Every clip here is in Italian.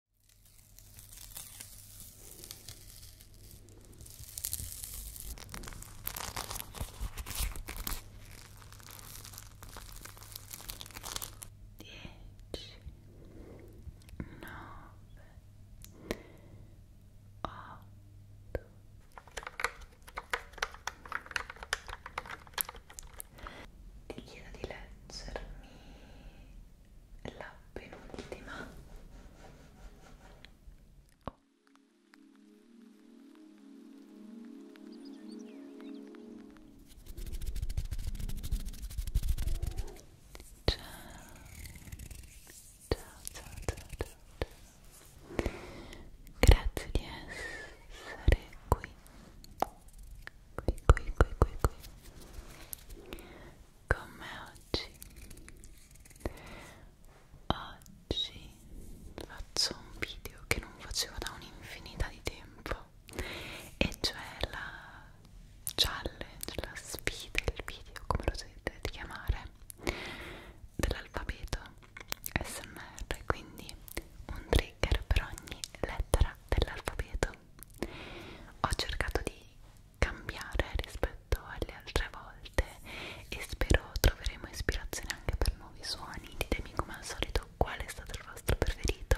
Dieci, nove, otto, ti chiedo di leggermi la penultima oh. ciao. Ciao, ciao, ciao, ciao, ciao grazie di essere qui qui qui qui qui qui con me oggi oggi faccio un video che non facevo da un'infinità di tempo e cioè la challenge, la sfida, il video come lo dovete chiamare dell'alfabeto SMR quindi un trigger per ogni lettera dell'alfabeto ho cercato di cambiare rispetto alle altre volte e spero troveremo ispirazione anche per nuovi suoni ditemi come al solito qual è stato il vostro preferito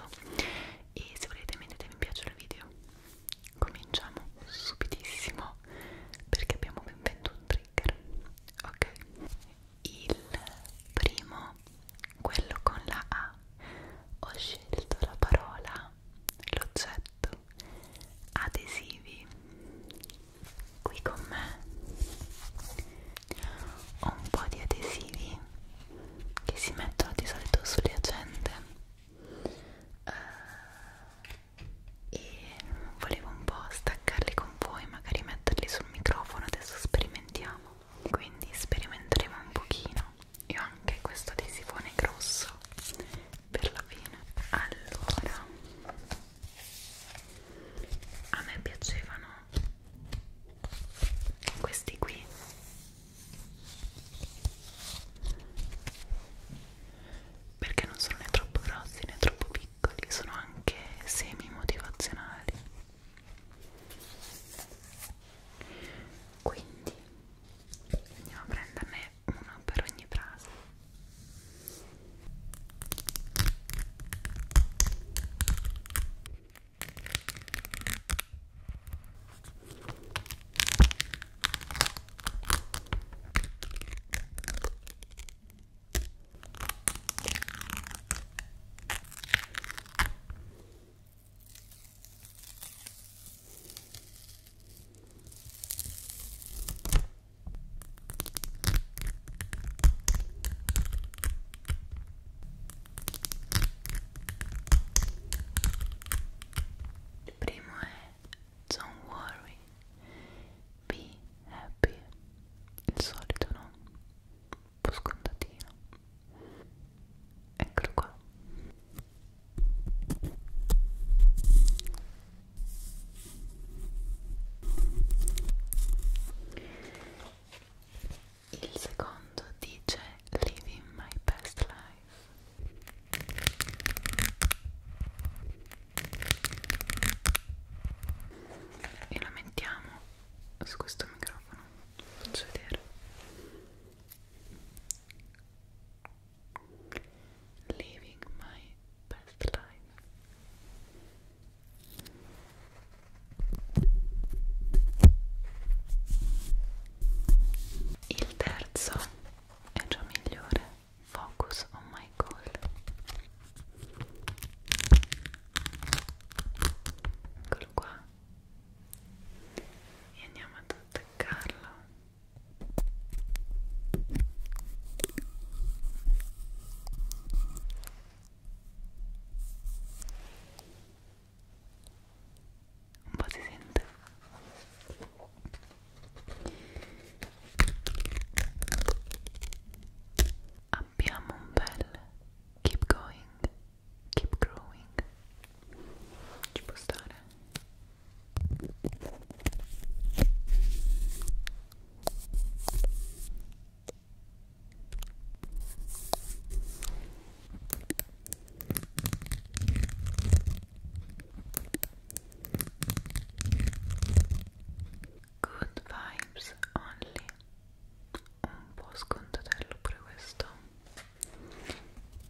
e se volete mettetemi mi piace al video cominciamo subitissimo perché abbiamo ben venduto un trigger ok il primo quello con la A ho scelto la parola l'oggetto adesivi qui con me ho un po' di adesivi che si mettono di solito sulle agende uh, e volevo un po' staccarli con voi magari metterli sul microfono adesso sperimentiamo quindi sperimenteremo un pochino e ho anche questo adesivone grosso per la fine allora a me piacevano questi qui perché non sono né troppo grossi né troppo piccoli sono anche semi motivazionali quindi andiamo a prenderne uno per ogni frase il primo è Don't worry, be happy, il solito no, un po' scontatino. Eccolo qua. Il secondo dice Living My Best Life. E la mettiamo su questo microfono. Faccio vedere. Living my best life. Il terzo è già migliore. Focus on my goal. Eccolo qua. E andiamo ad attaccarlo Un po' si sente keep going keep growing ci può stare Good vibes only. Un po' scontatello pure questo.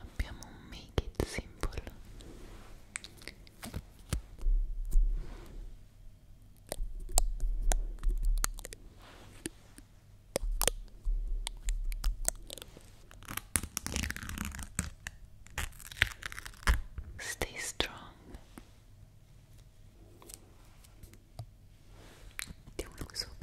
abbiamo un make it simple Stay strong Mettiamo uno qui sopra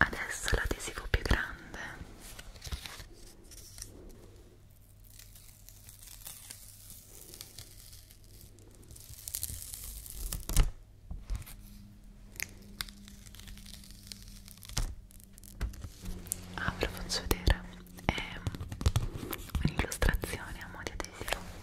Adesso l'adesivo più grande. Ah, ve lo faccio vedere. È un'illustrazione a modo adesivo.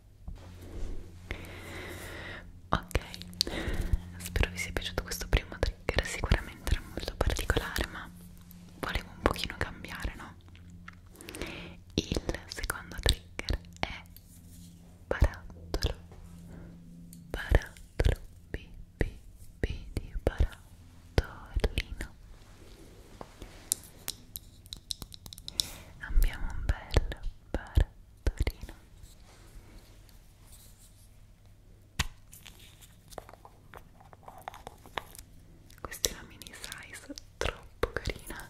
ok spero vi sia piaciuto questo primo trigger sicuramente era molto particolare ma volevo un pochino cambiare no? il secondo trigger è barattolo barattolo b b b di barattolino abbiamo un bel barattolino questa è la mini size troppo carina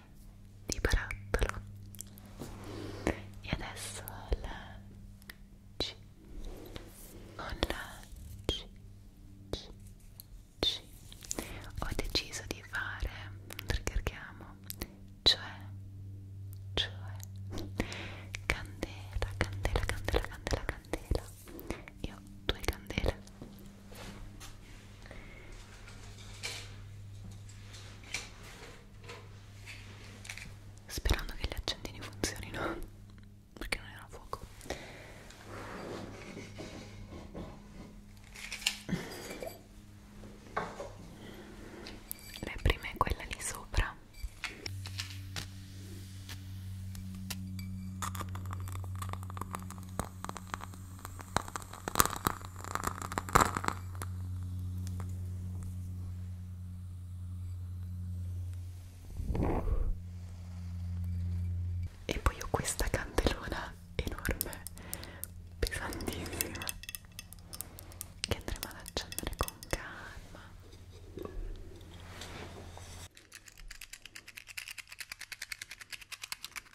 di barattolo e adesso la C con la C, C, C ho deciso di fare un trigger chiamo cioè cioè candela candela candela candela candela io ho due candele sperando che gli accendini funzionino perché non era fuoco la prima è quella lì sopra e poi ho questa candelona enorme, pesantissima, che andremo ad accendere con calma.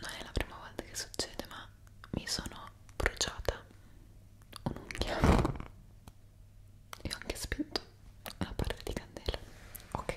Non è la prima volta che succede, ma mi sono bruciata un'unghia e ho anche spento la parte di candela. Ok.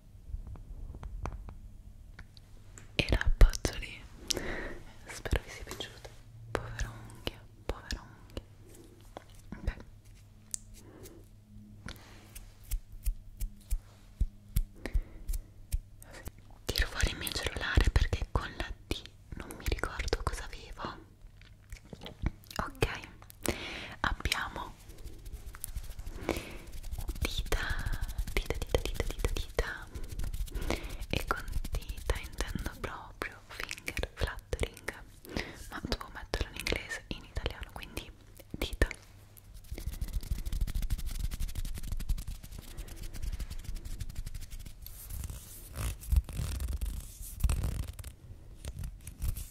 e l'appoggio lì spero vi sia piaciuto povera unghia povera unghia ok tiro fuori il mio cellulare perché con la D non mi ricordo cosa avevo ok abbiamo dita dita dita dita dita dita e con dita intendo proprio finger fluttering ma devo metterlo in inglese in italiano quindi dita dita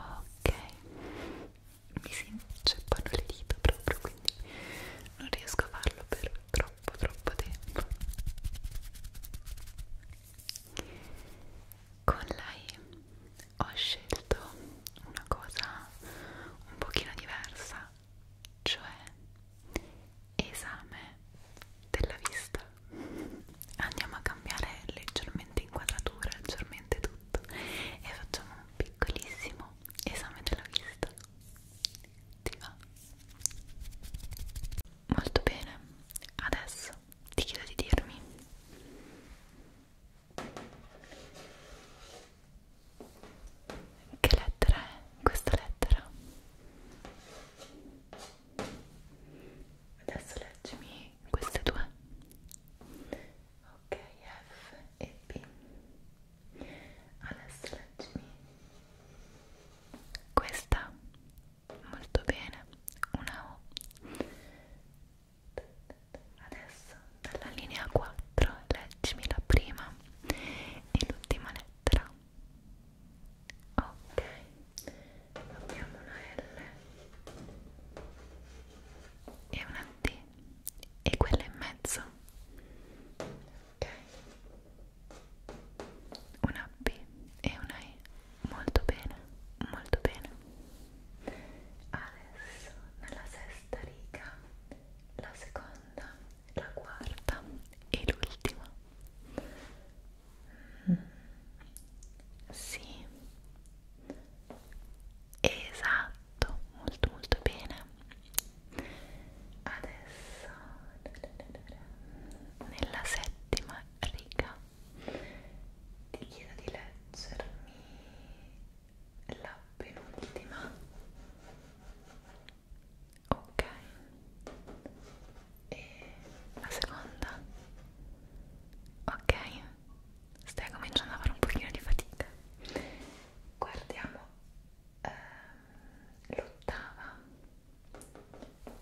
ok mi si inceppano le dita proprio quindi non riesco a farlo per troppo troppo tempo con lei ho scelto una cosa un pochino diversa cioè esame della vista andiamo a cambiare leggermente inquadratura, leggermente tutto e facciamo un piccolissimo esame della vista ti va? molto bene adesso ti chiedo di dirmi che lettera è questa lettera? Adesso leggimi queste due. Ok, F e B. Adesso leggimi questa. Molto bene. Una O. Adesso dalla linea 4 leggimi la prima e l'ultima lettera. Ok abbiamo una L e una T e quella in mezzo ok una B e una E molto bene molto bene adesso nella sesta riga la seconda la quarta e l'ultima sì, esatto, molto molto bene. Adesso nella settima riga ti chiedo di leggermi la penultima. Ok, e la seconda ok stai cominciando a fare un pochino di fatica guardiamo ehm, l'ottava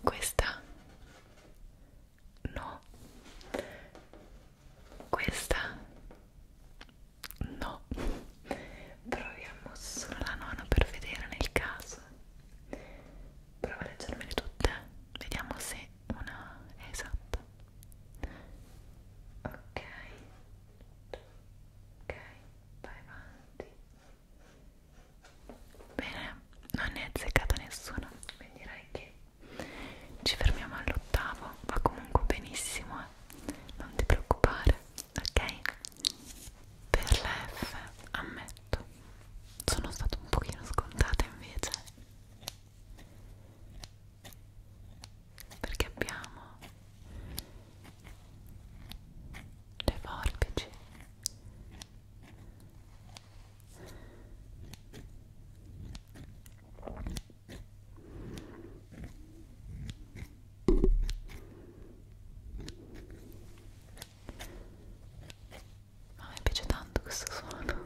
questa no questa no proviamo solo la nona per vedere nel caso Prova a leggermele tutte, vediamo se una è esatta. Ok, ok, vai avanti. Bene, non ne è azzeccata nessuna, quindi direi che ci fermiamo all'ottavo, va comunque benissimo, eh? non ti preoccupare, ok? Per la F a me fatto sono stata un pochino scontata invece perché abbiamo le forbici ma a me piace tanto questo suono.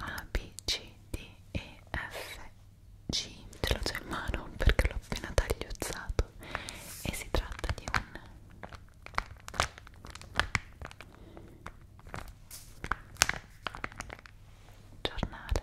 A B C D E F oggi ce l'ho già in mano perché l'ho appena tagliuzzato e si tratta di un giornale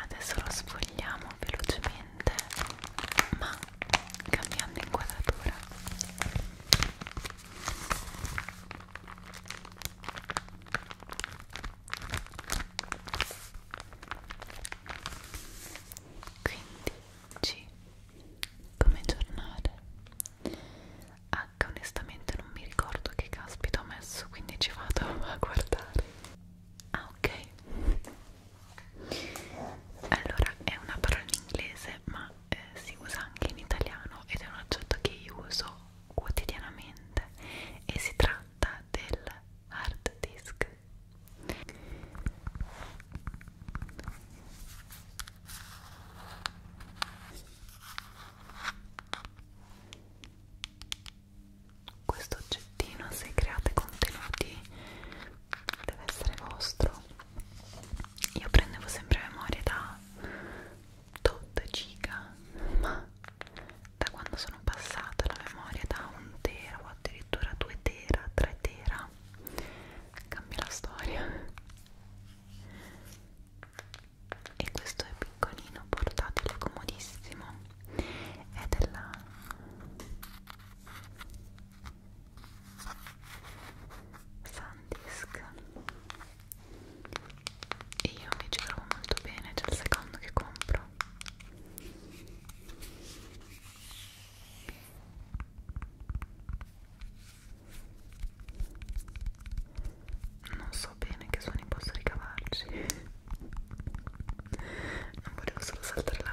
Adesso lo sfogliamo velocemente ma cambiando inquadratura quindi G come giornale H onestamente non mi ricordo che caspita ho messo quindi ci vado a guardare Ah ok Allora è una parola in inglese ma eh, si usa anche in italiano ed è un oggetto che io uso quotidianamente e si tratta del hard disk questo oggettino se create contenuti deve essere vostro io prendevo sempre memoria da tot giga ma da quando sono passata la memoria da un tera o addirittura 2 tera 3 tera cambia la storia e questo è piccolino portatile comodissimo è della Sandisk e io mi ci trovo molto bene, c'è il secondo che compro non so bene che suoni posso ricavarci non volevo solo saltare l'H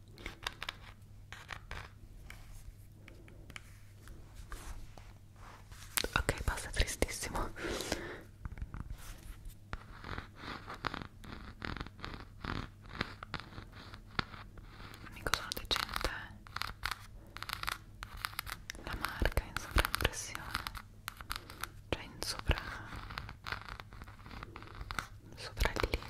ok basta tristissimo mica sono decente eh. la marca in sovraimpressione cioè in sopra soprallievo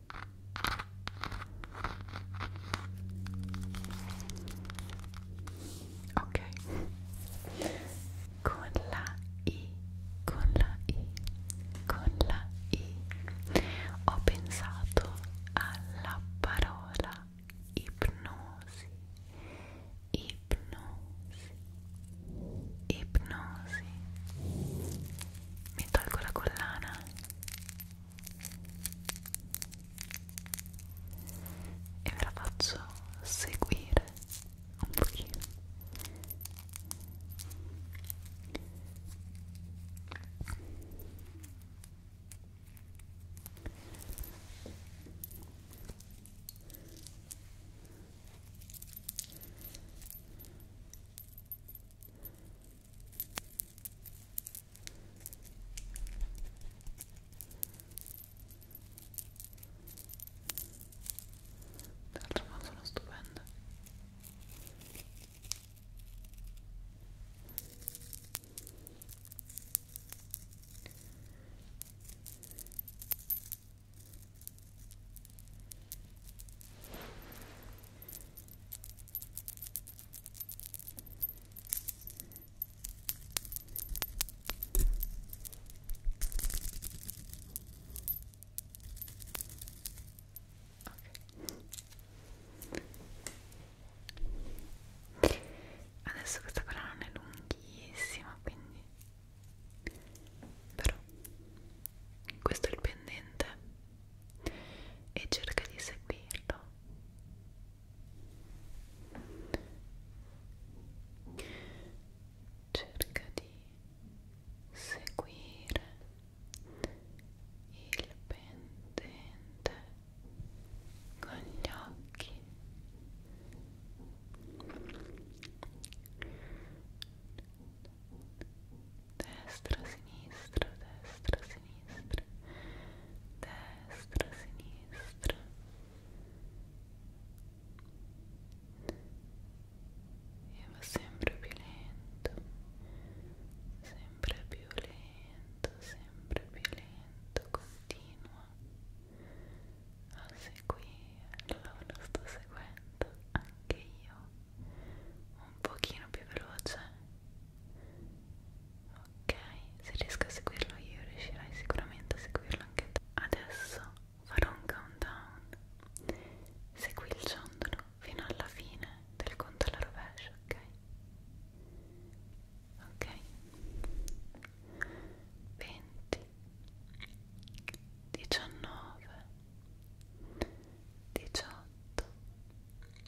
ok con la i con la i con la i ho pensato alla parola ipnosi ipnosi ipnosi mi tolgo la collana e ve la faccio seguire un pochino e D'altro non sono stupende Okay. Adesso questa colla non è lunghissima, quindi però questo è il pendente e cerca di seguirlo. Cerca di seguire il pendente con gli occhi. Cerca destra, sinistra, destra, sinistra, destra, sinistra. E va sempre più lento, sempre più lento, sempre più lento, continua a seguirlo, lo sto seguendo anche io un pochino più veloce ok se riesco a seguirlo io riuscirai sicuramente a seguirlo anche te adesso farò un countdown segui il ciondolo fino alla fine del conto alla rovescia ok ok 20 19 18 17 16 15 14 13 12 11 10 9 8 7 6 5 4 3 2 1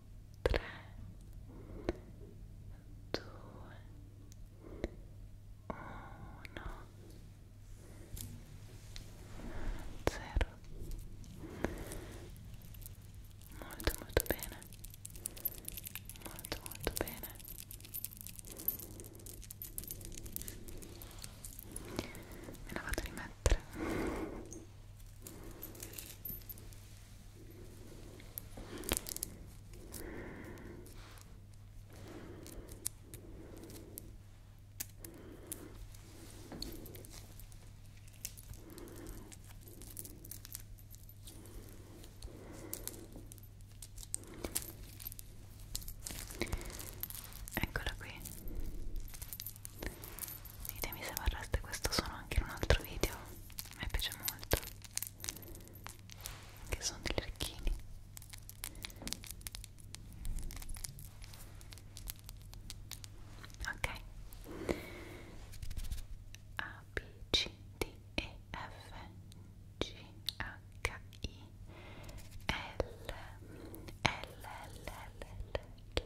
3 2 1 0 molto molto bene molto molto bene me la vado a rimettere Eccola qui. Ditemi se vorreste questo suono anche in un altro video, mi piace molto che sono degli orecchini ok A, B, C, D, E, F, G, H, I, L, L, L, L, L.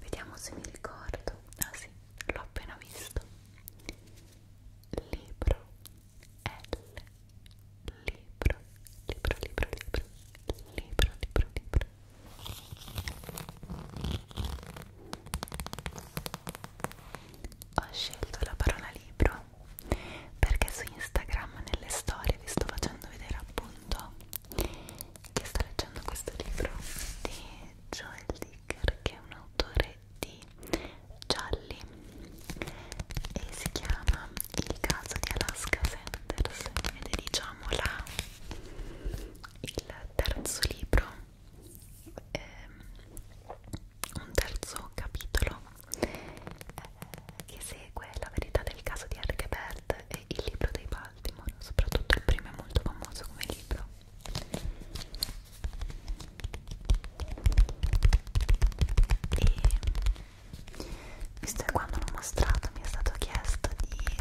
Vediamo se mi ricordo. Ah sì, l'ho appena visto libro L libro libro libro libro libro libro libro ho scelto la parola libro perché su Instagram nelle storie vi sto facendo vedere appunto che sto leggendo questo libro di Joel D. Baker che è un autore di gialli e si chiama Il caso di Alaska Sanders ed è diciamo la, il terzo libro, eh, un terzo capitolo eh, che segue la verità del caso di Harry Bert e il libro dei Baltimore, soprattutto il primo è molto famoso come libro e visto che quando l'ho mostrato mi è stato chiesto di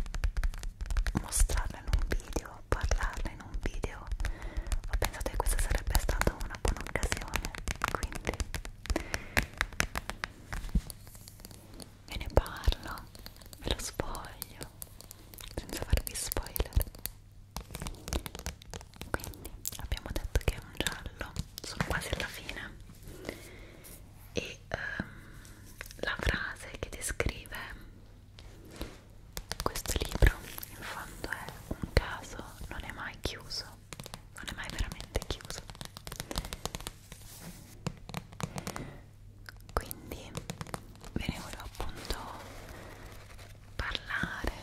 mostrarlo in un video, parlarne in un video, ho pensato che questa sarebbe stata una buona occasione, quindi ve ne parlo, ve lo spoglio senza farvi spoiler quindi abbiamo detto che è un giallo sono quasi alla fine e um, la frase che descrive questo libro in fondo è un caso non è mai chiuso non è mai veramente chiuso quindi ve ne volevo appunto parlare,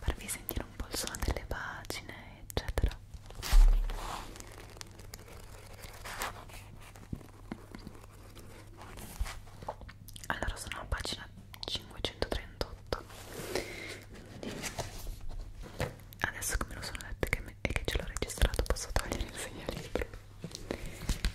farvi sentire un po' il suono delle pagine, eccetera. Allora sono a pagina 538. Adesso che me lo sono letto e che, me, e che ce l'ho registrato posso togliere il segnalibro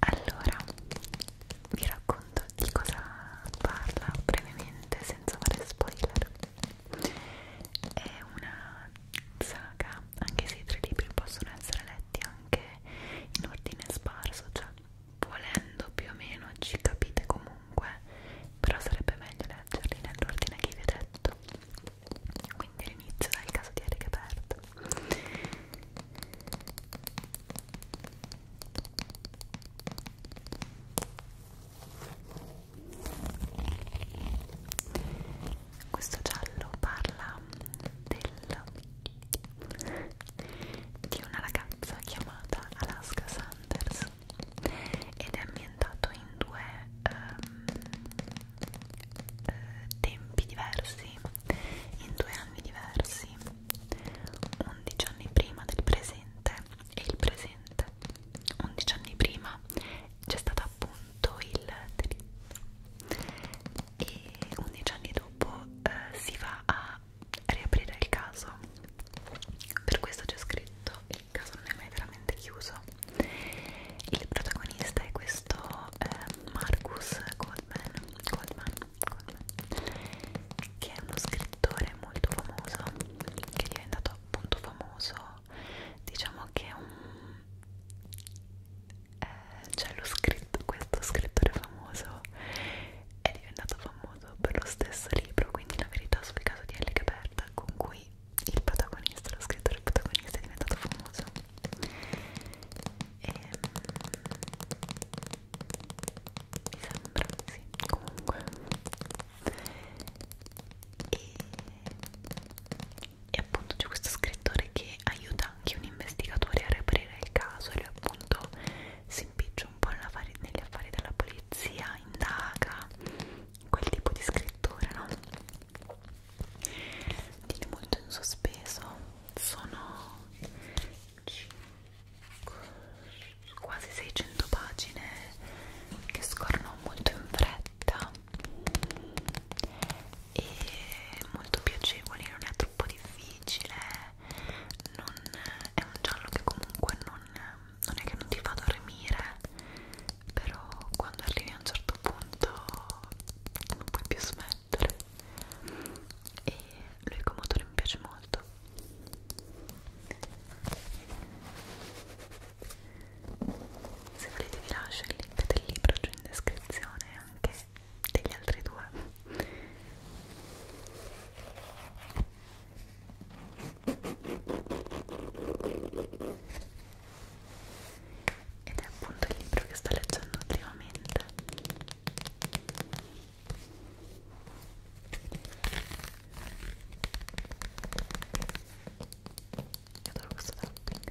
Allora, vi racconto di cosa parla brevemente senza fare spoiler. È una saga, anche se i tre libri possono essere letti anche in ordine sparso, cioè volendo più o meno ci capite comunque, però sarebbe meglio leggerli nell'ordine che vi ho detto quindi l'inizio dal caso di Eric Bert questo giallo parla del, di una ragazza chiamata Alaska Sanders ed è ambientato in due um, eh, tempi diversi, in due anni diversi, 11 anni prima del presente e il presente, 11 anni prima c'è stato appunto il delitto e 11 anni dopo eh, si va a riaprire il caso, per questo c'è scritto il caso non è mai veramente chiuso il protagonista è questo eh, Marcus Goldman, Goldman, Goldman, che è uno scrittore molto famoso, che è diventato appunto famoso, diciamo che è un... Eh, cioè lo scritto, questo scrittore famoso è diventato famoso per lo stesso libro, quindi la verità sul caso di Ellie Gaberta, con cui il protagonista, lo scrittore protagonista è diventato famoso e ehm, mi sembra, sì, comunque e, e appunto c'è questo scrittore che aiuta anche un investigatore a reperire il caso e lui appunto si impiccia un po' negli affari della polizia, indaga quel tipo di scrittore, no? tieni molto in sospeso sono 5, quasi 600 pagine che scorrono molto in fretta e molto piacevoli non è troppo difficile non è un giallo che comunque non, non è che non ti fa dormire però quando arrivi a un certo punto non puoi più smettere e l'unico motore mi piace molto se volete vi lascio il link del libro giù in descrizione anche degli altri due ed è appunto il libro che sto leggendo ultimamente io adoro questo tapping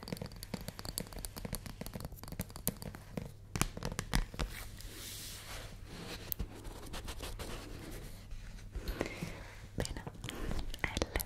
Bene, L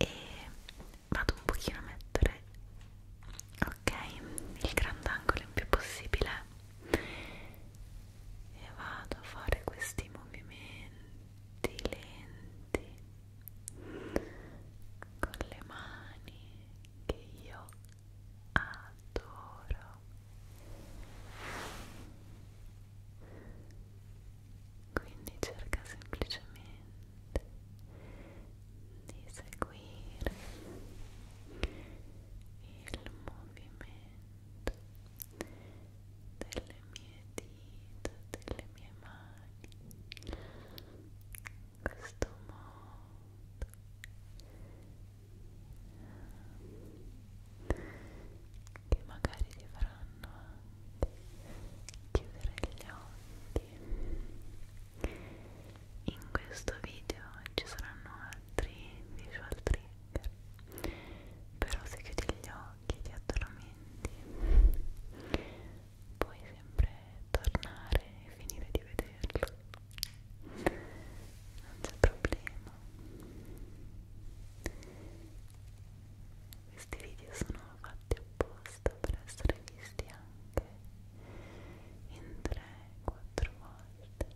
e vado un pochino a mettere ok il grandangolo il più possibile e vado a fare questi movimenti lenti con le mani che io adoro quindi cerca semplicemente di seguire il movimento delle mie dita, delle mie mani in questo modo che magari ti faranno anche chiudere gli occhi in questo video ci saranno altri visual trigger però se chiudi gli occhi e ti addormenti puoi sempre tornare e finire di vederlo non c'è problema questi video sono fatti apposta per essere visti anche in 3-4 volte.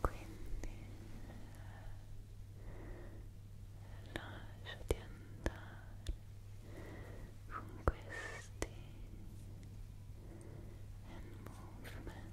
Quindi eh, lasciati andare con questi and movements and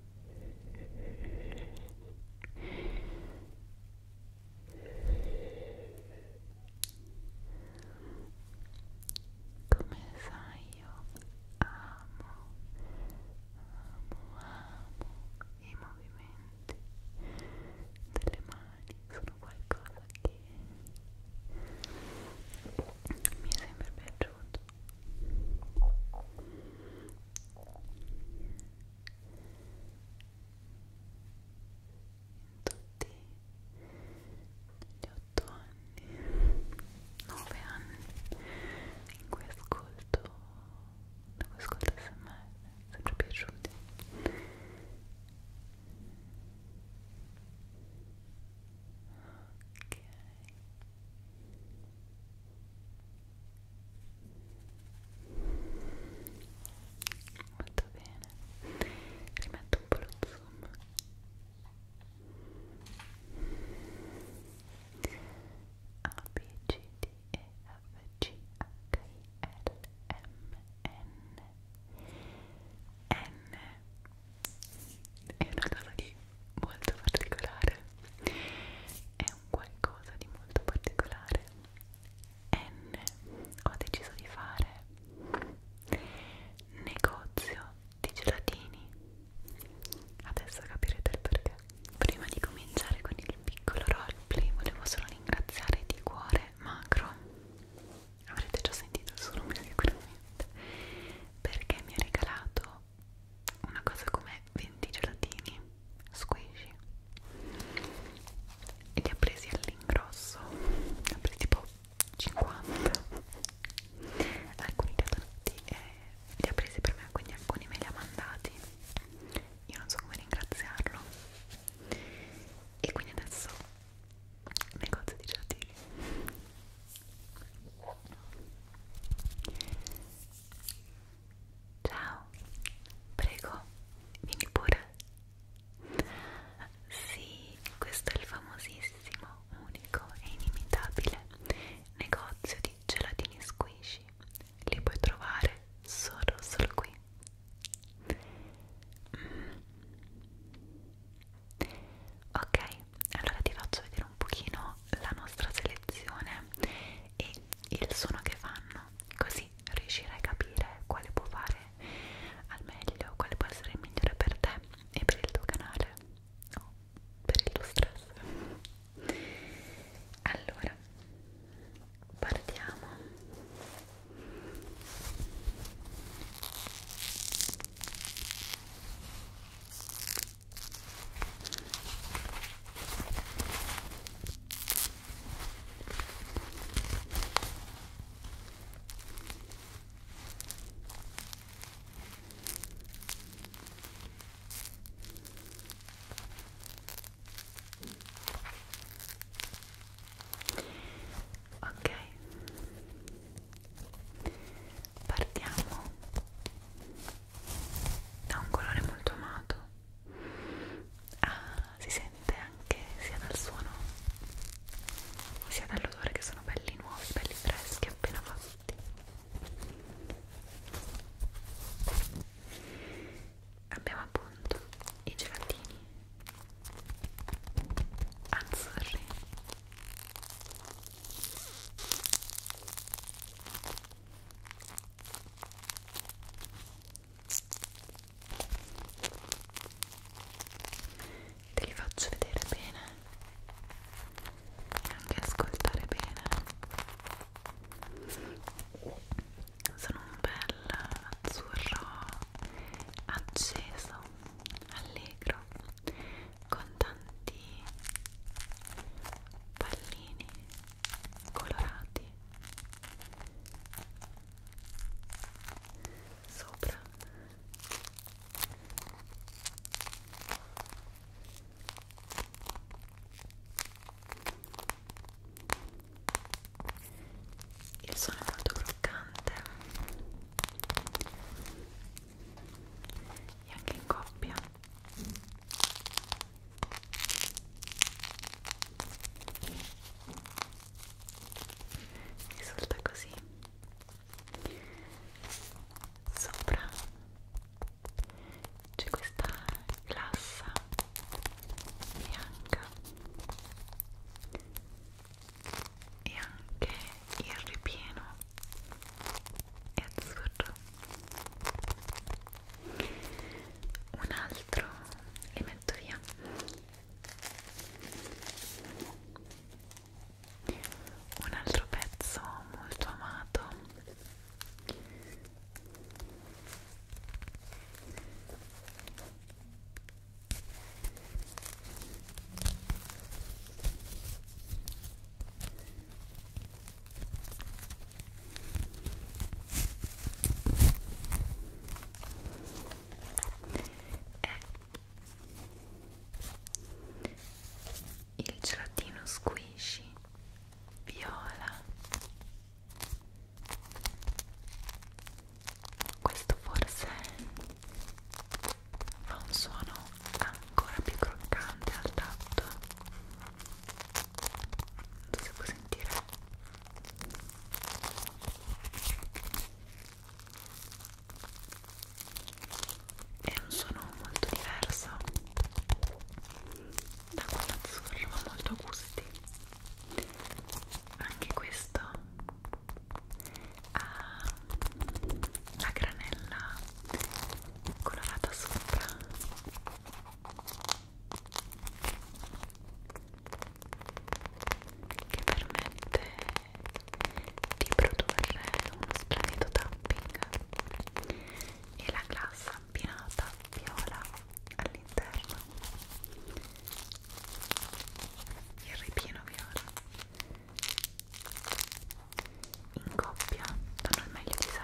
Come sai io amo, amo, amo i movimenti delle mani, sono qualcosa che mi è sempre piaciuto in tutti gli otto anni, nove anni in cui ascolto, in cui ascolto smr, sempre piaciuti ok molto bene rimetto un po' lo zoom A, B, G, D, E, F, G, H, I, L, M, N N è una cosa che molto particolare è un qualcosa di molto particolare N ho deciso di fare negozio di gelatini adesso capirete il perché prima di cominciare con il piccolo roleplay volevo solo ringraziare di cuore Macro avrete già sentito il suo nome sicuramente perché mi ha regalato una cosa come 20 gelatini squishy e li ha presi all'ingrosso li ha presi tipo 50 alcuni li ha donati e eh, li ha presi per me quindi alcuni me li ha mandati io non so come ringraziarlo e quindi adesso negozio di gelatini Ciao, prego, vieni pure. Sì, questo è il famosissimo, unico e inimitabile negozio di gelatini squishy. Li puoi trovare solo, solo qui. Mm. Ok, allora ti faccio vedere un pochino la nostra selezione e il suono che fanno, così riuscirai a capire quale può fare al meglio, quale può essere il migliore per te e per il tuo canale o per il tuo stress. Allora, partiamo. Ok, partiamo ha un colore molto amato ah, si sente anche sia dal suono sia dall'odore che sono belli nuovi, belli freschi appena fatti abbiamo appunto i gelatini azzurri Te li faccio vedere bene e anche ascoltare bene. Sono un bel azzurro acceso, allegro, con tanti pallini colorati sopra il suono è molto croccante e anche in coppia risulta così sopra c'è questa glassa bianca e anche il ripieno è azzurro un altro li metto via un altro pezzo molto amato è eh. il gelatino squishy viola questo forse fa un suono ancora più croccante al tatto non so se puoi sentire è un suono molto diverso da quello azzurro ma molto a gusti anche questo ha la granella colorata sopra che permette di produrre uno splendido tapping e la glassa abbinata viola all'interno il ripieno viola in coppia danno il meglio di sé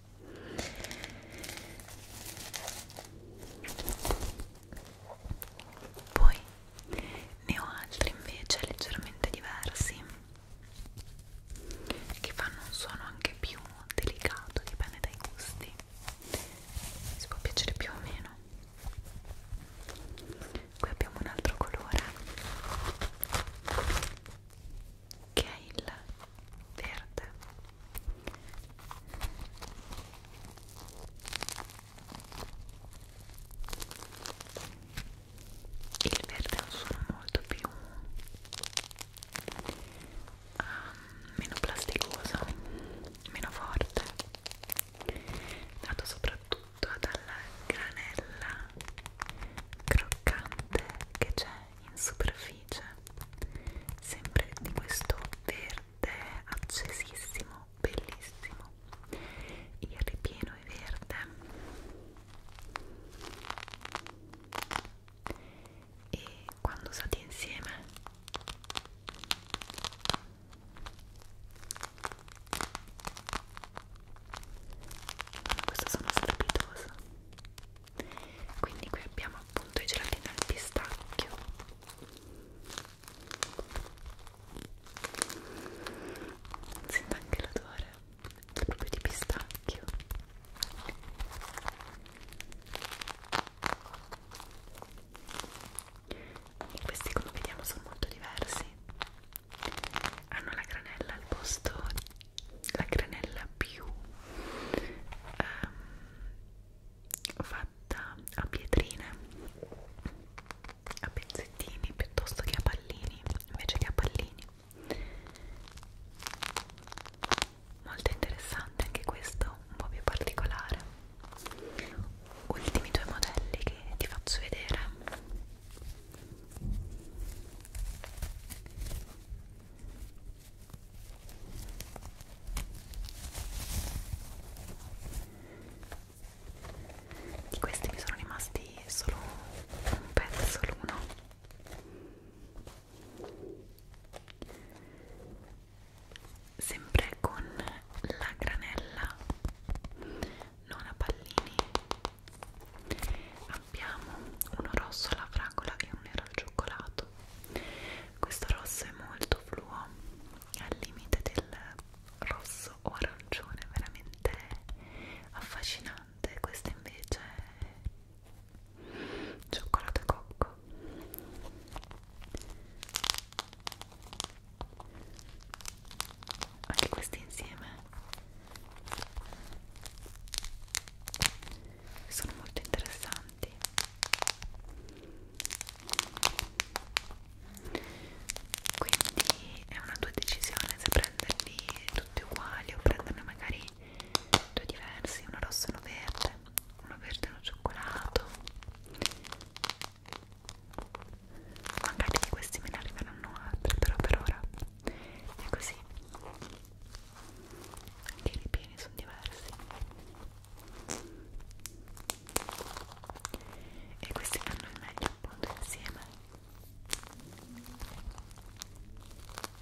poi ne ho altri invece leggermente diversi che fanno un suono anche più delicato dipende dai gusti si può piacere più o meno qui abbiamo un altro colore che è il verde il verde è un suono molto più um, meno plasticoso meno forte dato soprattutto dalla granella croccante che c'è in superficie sempre di questo verde accesissimo bellissimo il ripieno è verde e quando usati insieme questa sono strepitosa quindi qui abbiamo appunto i gelatini al pistacchio sento anche l'odore proprio di pistacchio e questi come vediamo sono molto diversi hanno la granella al posto la granella più ehm, fatta a pietrine a pezzettini piuttosto che a pallini invece che a pallini molto interessante anche questo un po' più particolare ultimi due modelli che ti faccio vedere di questi mi sono rimasti solo un pezzo l'uno. Sempre con la granella, non a pallini, a abbiamo uno rosso alla fragola e un nero al cioccolato questo rosso è molto fluo al limite del rosso o arancione veramente affascinante questo invece è cioccolato e cocco anche questi insieme sono molto interessanti quindi è una tua decisione se prenderli tutti uguali o prenderne magari due diversi uno rosso e uno verde uno verde e uno cioccolato magari di questi me ne arriveranno altri però per ora è così che i ripieni sono diversi e questi fanno il meglio appunto insieme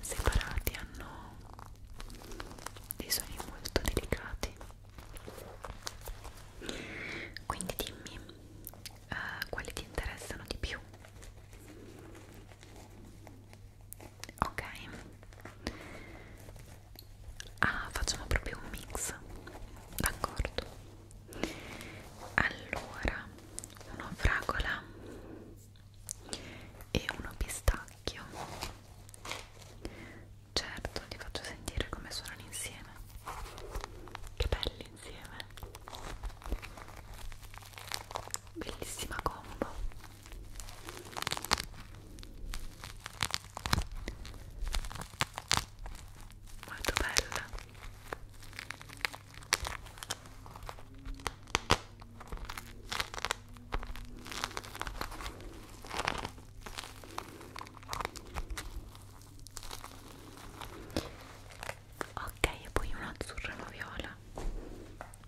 separati hanno dei suoni molto delicati quindi dimmi uh, quali ti interessano di più ok ah facciamo proprio un mix d'accordo allora una fragola e uno pistacchio certo li faccio sentire come suonano insieme che belli insieme bellissima combo molto bella ok e poi una azzurra e una viola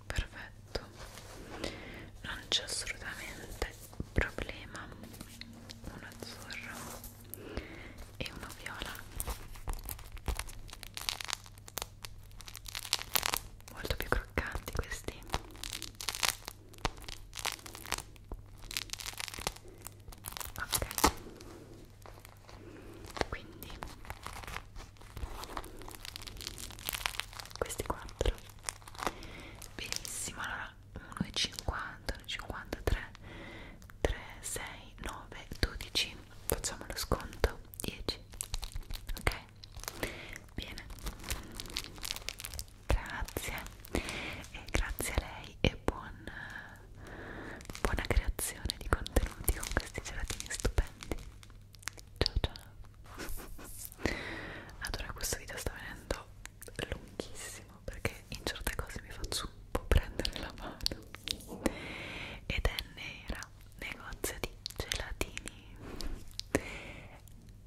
perfetto non c'è assolutamente problema un azzurro e uno viola molto più croccanti questi ok quindi questi quattro benissimo allora 1,50 53 3 6 9 12 facciamo lo sconto 10 ok bene grazie e grazie a lei e buon, buona creazione di contenuti con questi gelatini stupendi ciao ciao allora questo video sta venendo lunghissimo perché in certe cose mi faccio un po' prendere la mano ed è nera negozio di gelatini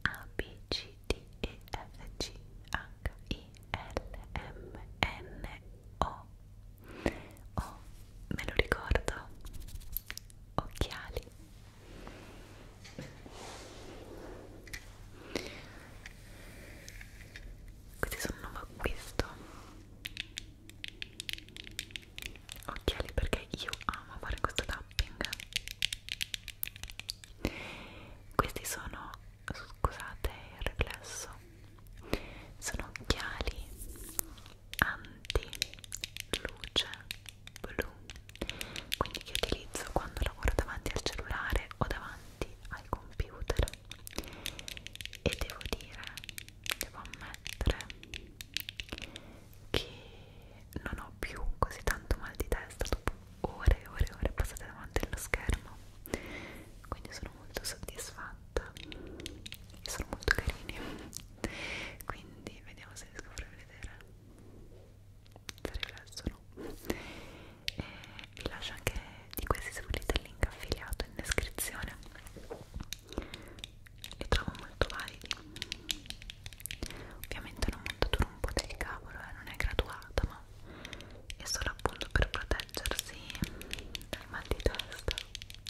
A B C D E F G H I L M N O Oh, me lo ricordo occhiali questi sono un nuovo acquisto occhiali perché io amo fare questo tapping questi sono scusate il riflesso sono occhiali anti luce blu quindi che utilizzo quando lavoro davanti al cellulare o davanti al computer e devo dire devo ammettere che non ho più così tanto mal di testa dopo ore e ore e ore passate davanti allo schermo quindi sono molto soddisfatta e sono molto carini quindi vediamo se riesco a farvi vedere se riflesso no e vi lascio anche di questi se volete il link affiliato in descrizione li trovo molto validi ovviamente è una montatura un po' del cavolo eh, non è graduata ma è solo appunto per proteggersi dal mal di testa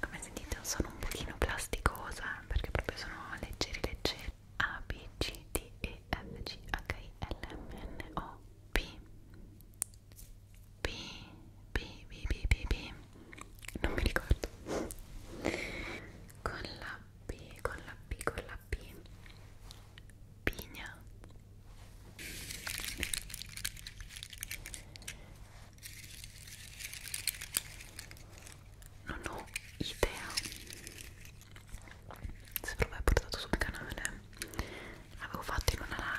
come sentite sono un pochino plasticosa perché proprio sono leggeri leggeri A, B, C, D, E, F, G, H, I, L, M, N, O, P B, B, B, B, B, B, non mi ricordo, con la B, con la B, con la B, pigna, non ho idea se ve l'ho mai portato sul canale avevo fatto in una live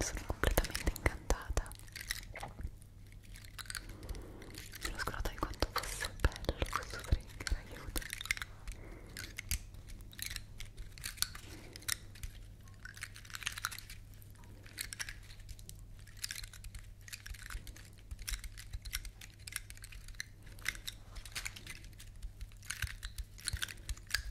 sono completamente incantata mi sono scordata di quanto fosse bello questo trigger, aiuto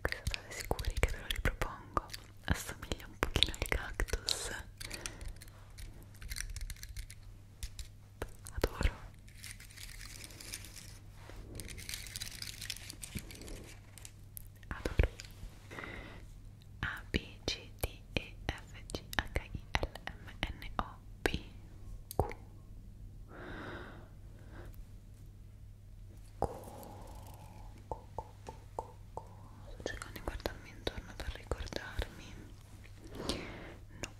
Questo state sicuri che ve lo ripropongo, assomiglia un pochino al cactus. Adoro. Adoro. A, B, C, D, E, F, G, H, I, L, M, N, O, P, Q Q, Q, Q, Q, Q Sto cercando di guardarmi intorno per ricordarmi No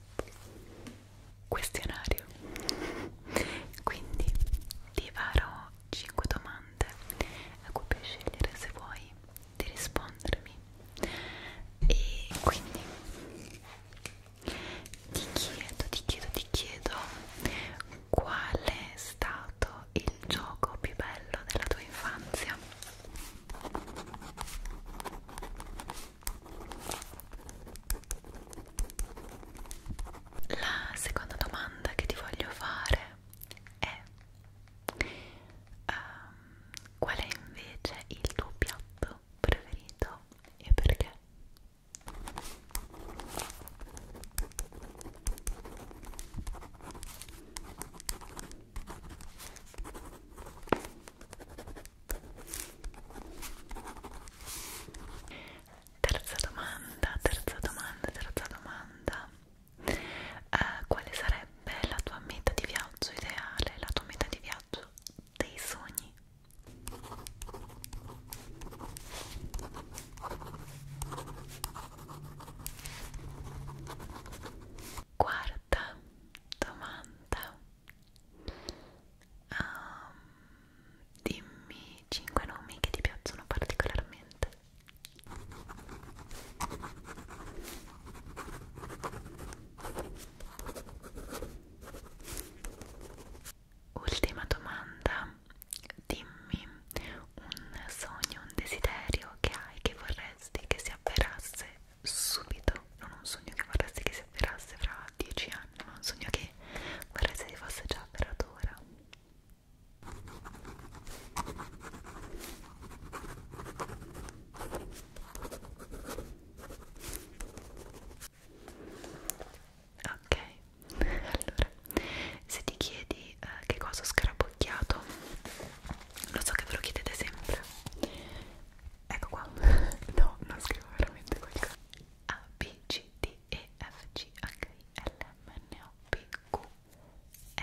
Questionario Quindi ti farò 5 domande a cui puoi scegliere se vuoi di rispondermi e quindi ti chiedo, ti chiedo, ti chiedo qual è stato il gioco più bello della tua infanzia? La seconda domanda che ti voglio fare è Um, qual è invece il tuo piatto preferito e perché? Terza domanda, terza domanda, terza domanda eh, quale sarebbe la tua meta di viaggio ideale, la tua meta di viaggio dei sogni. Quarta domanda. Um, dimmi 5 nomi che ti piacciono particolarmente. Ultima domanda, dimmi un sogno, un desiderio che hai che vorresti che si avverasse subito, non un sogno che vorresti che si avverasse fra dieci anni, ma un sogno che vorresti che fosse già avverato ora. Ok, allora se ti chiedi eh, che cosa ho scarabocchiato, lo so che ve lo chiedete sempre. Ecco qua, no, non scrivo veramente qualcosa. A, B, C, D, E, F, G, H, I, L, M, N, O, P, Q, R,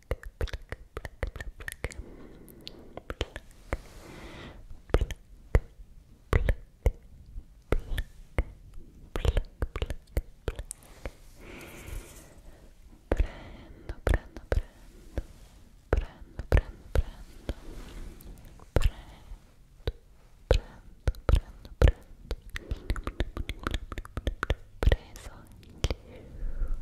prendo preso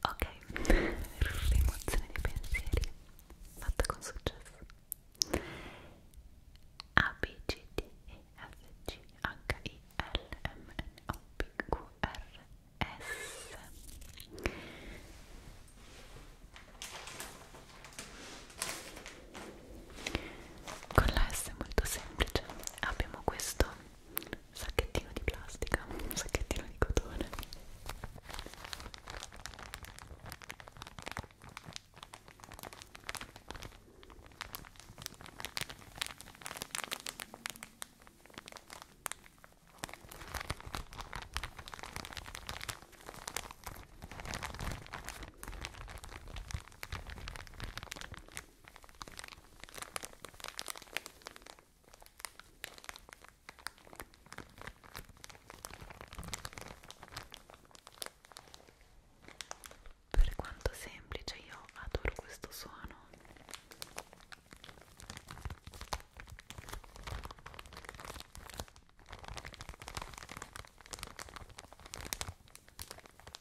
Ok, rimozione di pensieri fatta con successo A, B, G, D, E, F, G, H, I, L, M, N, O, P, Q, R, S con la S molto semplice abbiamo questo sacchettino di plastica un sacchettino di cotone per quanto semplice, io adoro questo suono.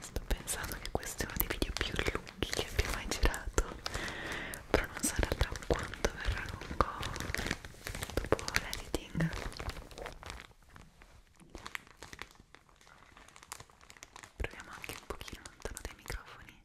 Sto pensando che questo è uno dei video più lunghi che abbia mai girato, però non sarà tra quanto verrà lungo dopo l'editing. Proviamo anche un pochino lontano dai microfoni.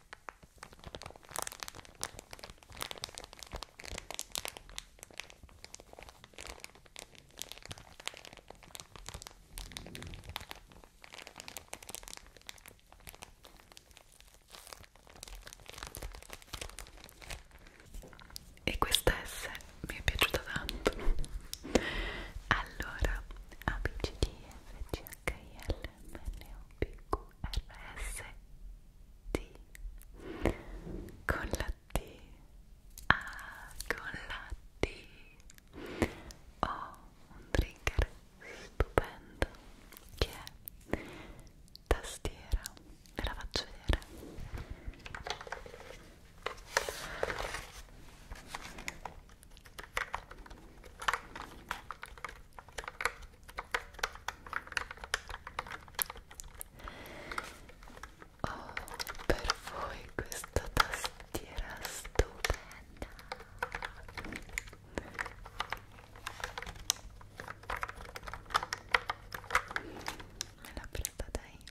E questa S mi è piaciuta tanto. Allora, amici di FCA H-I-L-M-N-O-P-Q-R-S-T con la T ah, con la T ho un trigger stupendo che è tastiera ve la faccio vedere Oh, per voi questa tastiera stupenda. Me l'ha presa da Amy.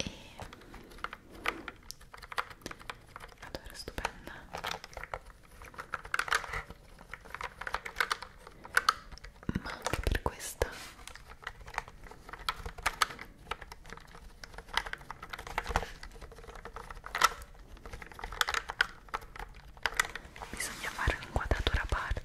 E... Allora, stupenda ma anche per questa bisogna fare un'inquadratura a parte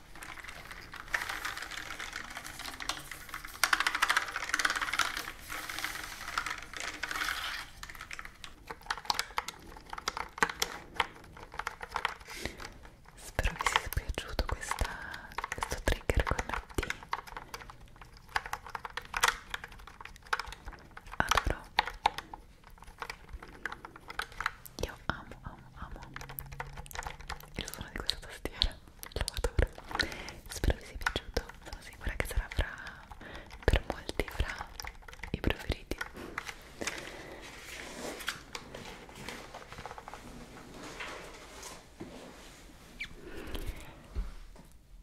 Spero vi sia piaciuto questa, questo trigger con la T. Adoro. Io amo, amo, amo il suono di questa tastiera. Trovatore. Spero vi sia piaciuto, sono sicura che sarà fra, per molti fra i preferiti.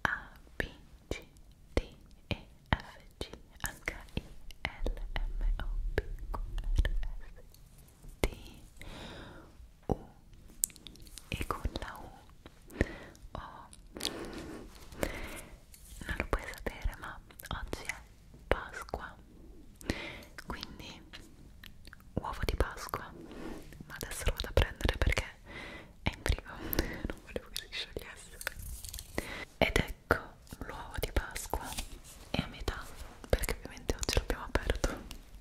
A, B, C, D, E, F, G, H, I, L, M, O, P, Q, R, S T U e con la U O non lo puoi sapere ma oggi è Pasqua quindi uovo di Pasqua ma adesso lo vado a prendere perché è in frigo non volevo che si sciogliesse ed ecco l'uovo di Pasqua è a metà perché ovviamente oggi l'abbiamo aperto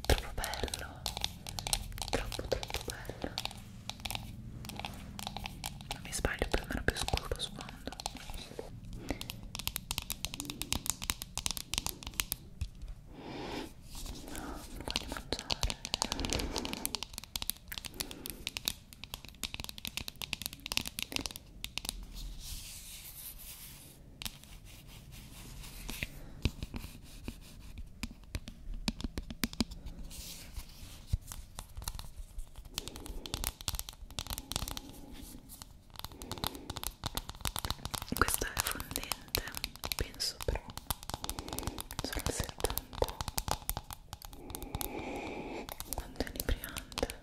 troppo bello troppo troppo bello non mi sbaglio più o meno più scuro sfondo no, non voglio mangiare questo è fondente, penso però, sono al 70 quanto è ripriante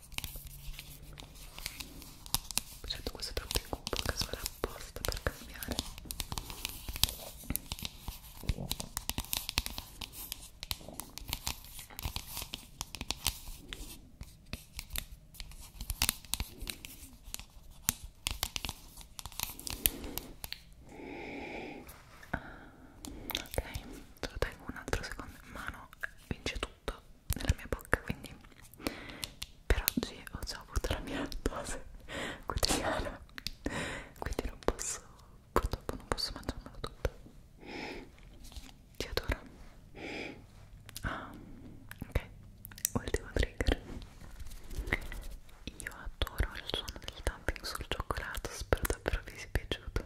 certo questo è troppo in cubo che sono apposta per cambiare ah, ok, te lo tengo un altro secondo in mano vince tu tutto nella mia bocca quindi per oggi ho già avuto la mia dose quotidiana quindi non posso purtroppo non posso mangiarmelo tutto ti adoro ah ok ultimo trigger io adoro il suono del tapping sul cioccolato spero davvero vi sia piaciuto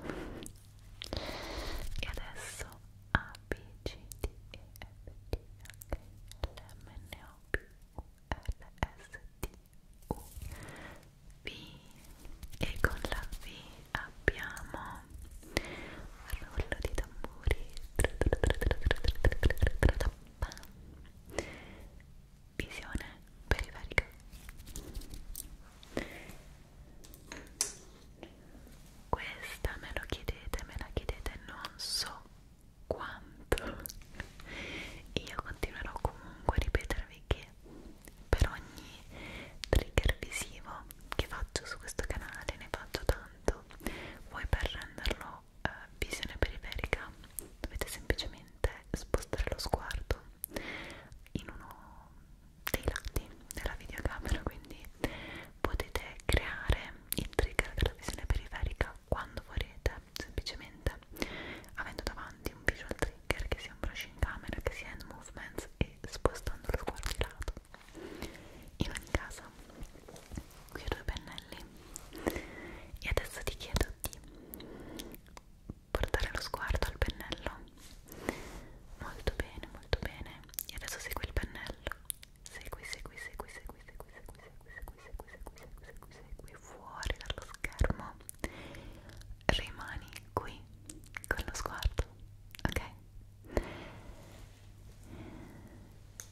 e adesso A, B, C, D, E, F, G, H, L, M, N, O, P, U, L, S, T, U, V e con la V abbiamo rullo di tamburi visione periferica questa me lo chiedete, me la chiedete, non so quanto. Io continuerò comunque a ripetervi che per ogni trigger visivo che faccio su questo canale, ne faccio tanto, voi per renderlo eh, visione periferica dovete semplicemente spostare lo sguardo in uno dei lati della videocamera quindi potete creare il trigger della visione periferica quando volete semplicemente avendo davanti un visual trigger che sia un brushing camera che sia hand movements e spostando lo sguardo di lato in ogni caso qui ho due pennelli e adesso ti chiedo di portare lo sguardo al pennello molto bene, molto bene e adesso segui il pennello segui, segui, segui, segui, segui, segui, segui, segui, segui, segui, segui, segui fuori dallo schermo rimani qui con lo sguardo, ok?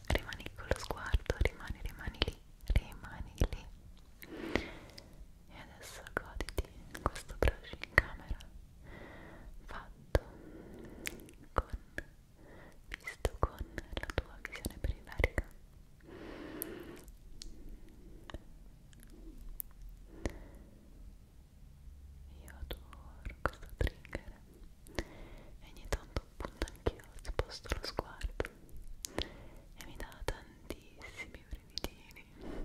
rimani con lo sguardo, rimani, rimani lì rimani lì e adesso goditi questo brush in camera va fatto con, visto con la tua visione periferica io adoro questo trigger e ogni tanto appunto anch'io sposto lo sguardo e mi dà tantissimi brividini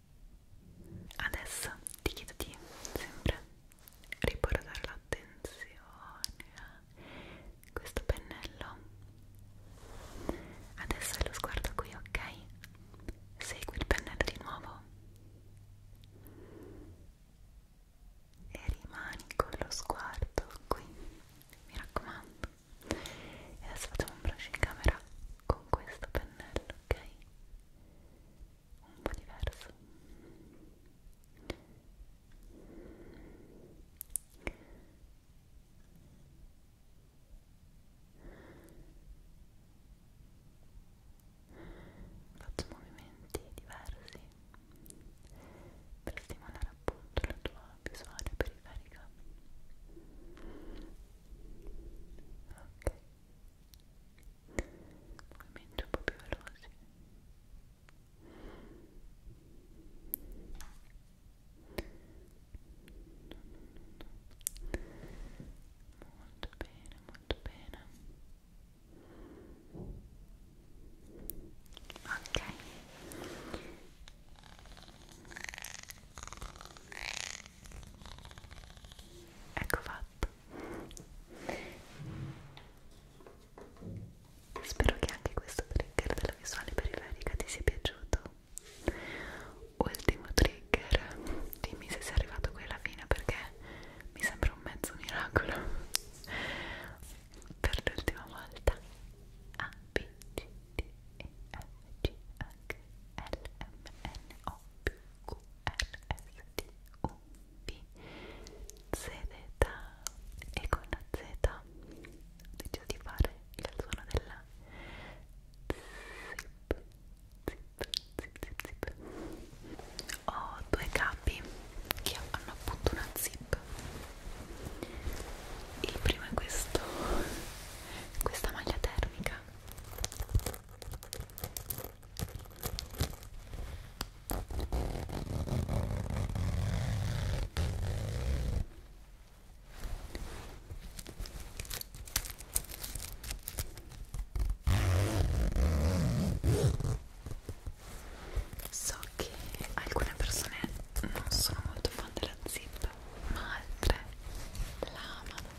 Adesso ti chiedo di sempre riportare l'attenzione a questo pennello. Adesso è lo sguardo qui, ok? Segui il pennello di nuovo e rimani con lo sguardo qui, mi raccomando. E adesso facciamo un brush in camera con questo pennello, ok? un po' diverso faccio movimenti diversi per stimolare appunto la tua visuale periferica ok movimenti un po' più veloci molto bene, molto bene ok ecco fatto Spero che anche questo trigger della visuale periferica ti sia piaciuto. Ultimo trigger, dimmi se sei arrivato qui alla fine perché mi sembra un mezzo miracolo. Per l'ultima volta, A, B, C, D, E, F, G, H, L, M, N, O, P, Q, LSTUV ZZ e con la Z ho deciso di fare il suono della zip, zip, zip, zip, zip. Ho due capi che hanno appunto una zip. Il primo è questo, questa maglia termica So che alcune persone non sono molto fan della zip, ma altre la amano.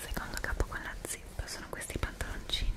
Secondo capo con la zip sono questi pantaloncini.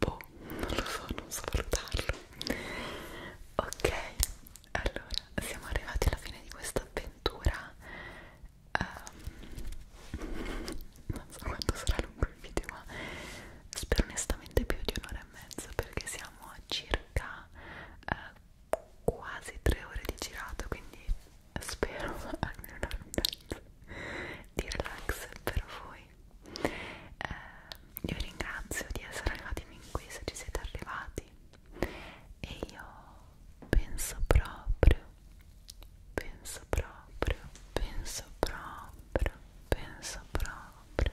Boh, non lo so, non so valutarlo. Ok, allora siamo arrivati alla fine di questa avventura. Um, non so quanto sarà lungo il video, ma spero onestamente più di un'ora e mezzo perché siamo a circa eh, quasi tre ore di girato quindi spero almeno un'ora e mezzo di relax per voi eh, io vi ringrazio di essere arrivati fin qui se ci siete arrivati e io penso proprio penso proprio penso proprio penso proprio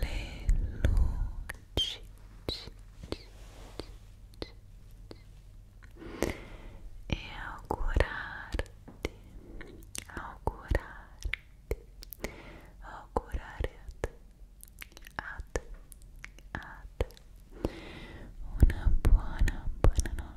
le luci e augurarti augurarti augurare a te una buona buona